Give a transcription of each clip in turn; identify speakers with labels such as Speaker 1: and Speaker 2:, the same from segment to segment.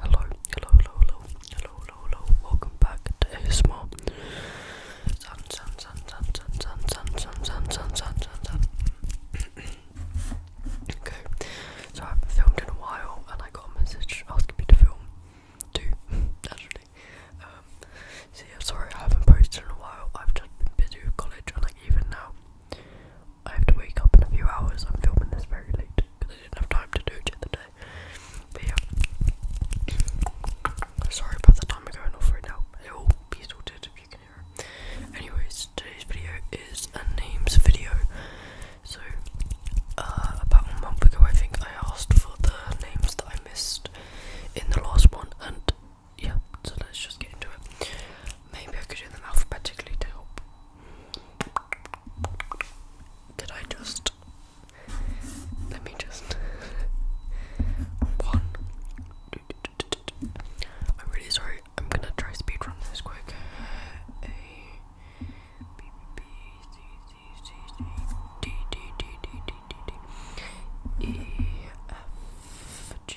Speaker 1: Hello, hello, hello, hello, hello, hello, Welcome back to ASMR. Okay, so I haven't filmed a while, and I got a message asking me to film too. Actually, um, so yeah, sorry I haven't posted in a while. I've just been busy with college, and even now, I have to wake up in a few hours. I'm filming this very late because I didn't have time to do it the day. But yeah, sorry about the time I'm going off right now. It will be sorted if you can hear Anyways, today's video is a names video. So uh, about a month ago, I think I asked for the names that I missed in the last one, and yeah, so let's just get into it. Maybe I could do them alphabetically to help. Did I just let me just one? I'm really sorry. I'm gonna try speedrun this quick. A B B C C C C D D D D D D D E F G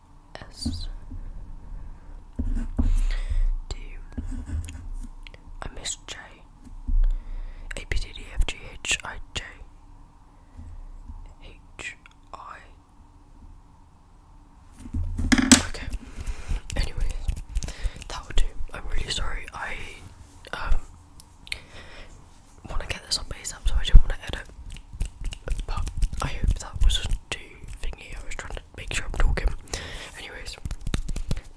Speaker 1: S D I miss J A B D D F G H I J H I Okay. Anyways, that would do. I'm really sorry. I um wanna get this on base up so I don't wanna edit. But I hope that was too thingy. I was trying to make sure I'm talking. Anyways,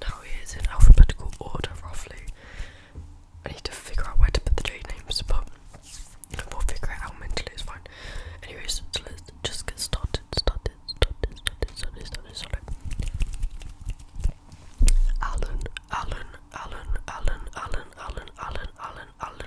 Speaker 1: now it is in alphabetical order roughly. I need to figure out where to put the J names, but we'll figure it out mentally. It's fine. Anyways, so let's just get started. Started. Started. Started. Started. Started. started. Alan, Alan, Alan, Alan, Alan, Alan, Alan, Alan, Alan,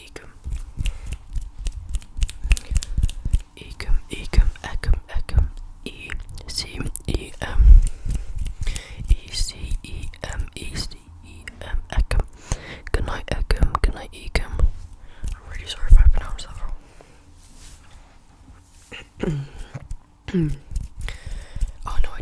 Speaker 1: ecum ecum ecum ecum ecum e c e m e c e m e c e m ecum good night ecum good night ecum I'm really sorry if I pronounced that wrong oh no I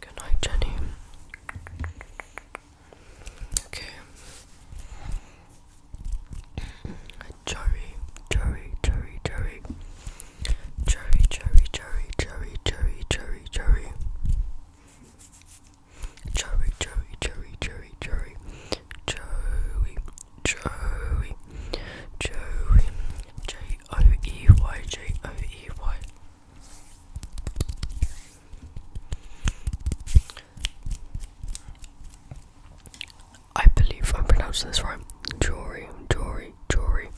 Speaker 1: Good night, Jenny. Okay. cherry, cherry, cherry, cherry, cherry, cherry. Cherry, cherry, cherry, cherry, cherry. Joey, Joey, Joey, J O E Y, J O E Y. I believe I'm this right. Jory, Jory, Jory,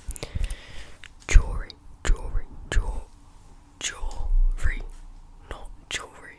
Speaker 1: Jory, Jory, Jory, Jory, not Jory,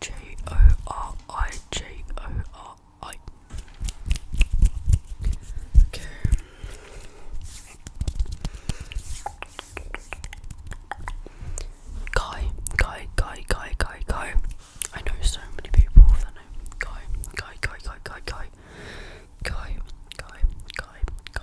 Speaker 1: J O R I J O R I. Guy, guy, guy, guy, guy, guy. I know so many people with that name. Guy, guy, guy, guy, guy, guy. Guy, guy, guy, guy,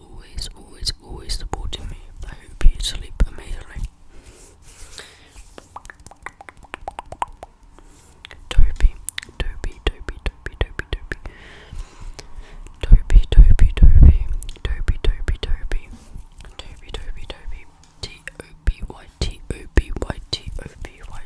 Speaker 1: always, always, always supporting me. I hope you sleep amazingly. Toby, Toby, Toby, Toby, Toby, Toby. Toby, Toby, Toby. Toby, Toby, Toby. Toby, Toby, Toby. T O B Y T O B Y T O B Y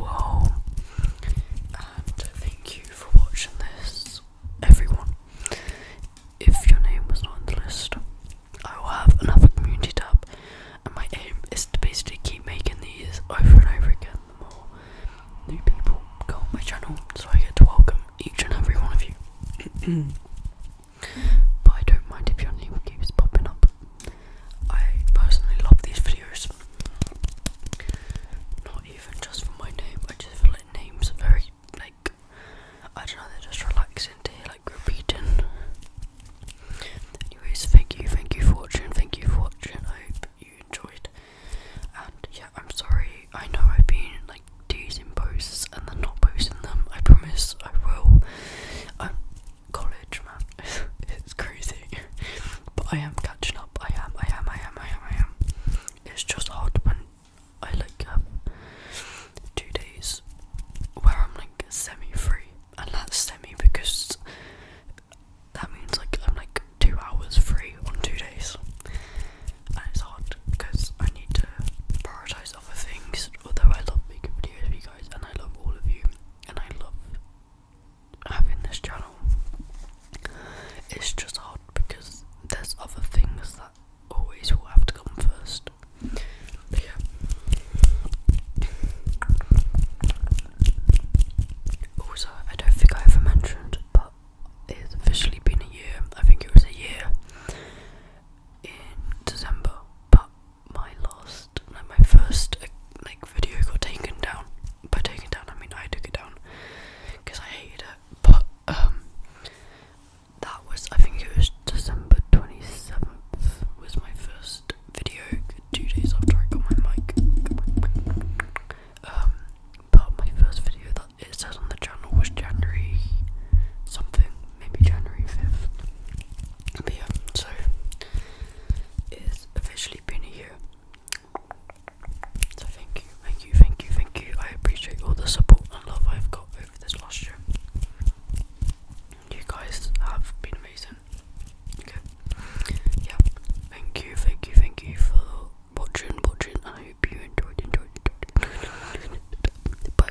Speaker 1: wow. And thank you for watching this, everyone. If your name was not on the list, I will have another community tab, and my aim is to basically keep making these over and over again. The more new people go on my channel, so I get to welcome each and every one of you. but I don't mind if your name keeps popping up. I personally love these videos, not even just for my name, I just feel like names are very like I don't know, they're just relaxing to like repeating. Anyways, thank you, thank you for watching, thank you for watching. I hope you enjoyed. And yeah, I'm sorry, I know I've been like teasing posts and then not posting them. I promise I will. I'm college man. it's crazy. but I am catching up. I am, I am, I am, I am, I am. It's just hard when I like have two days where I'm like semi free, and that's semi because that means like I'm like two hours free on two days, and it's hard because I need to prioritize other things. Although I love making videos for you guys, and I love all of you, and I love having this channel it's just hard because there's other things that always will have to come first also I don't think I ever mentioned but it's officially been a year I think it was a year in December but my last, like my first uh, like video got taken down. By taken down, I mean I took it down because I hated it. But um, that was I think it was December twenty seventh was my first video. Two days after I got my mic. Um, but my first video that it says on the channel was January something, maybe January fifth. But yeah, so. It officially been a year. So thank you, thank you, thank you, thank you. I appreciate all the support and love I've got over this last year. You guys have been amazing. Okay. Yeah. Thank you, thank you, thank you for watching, watching. I hope you enjoyed, enjoyed, enjoyed. Bye.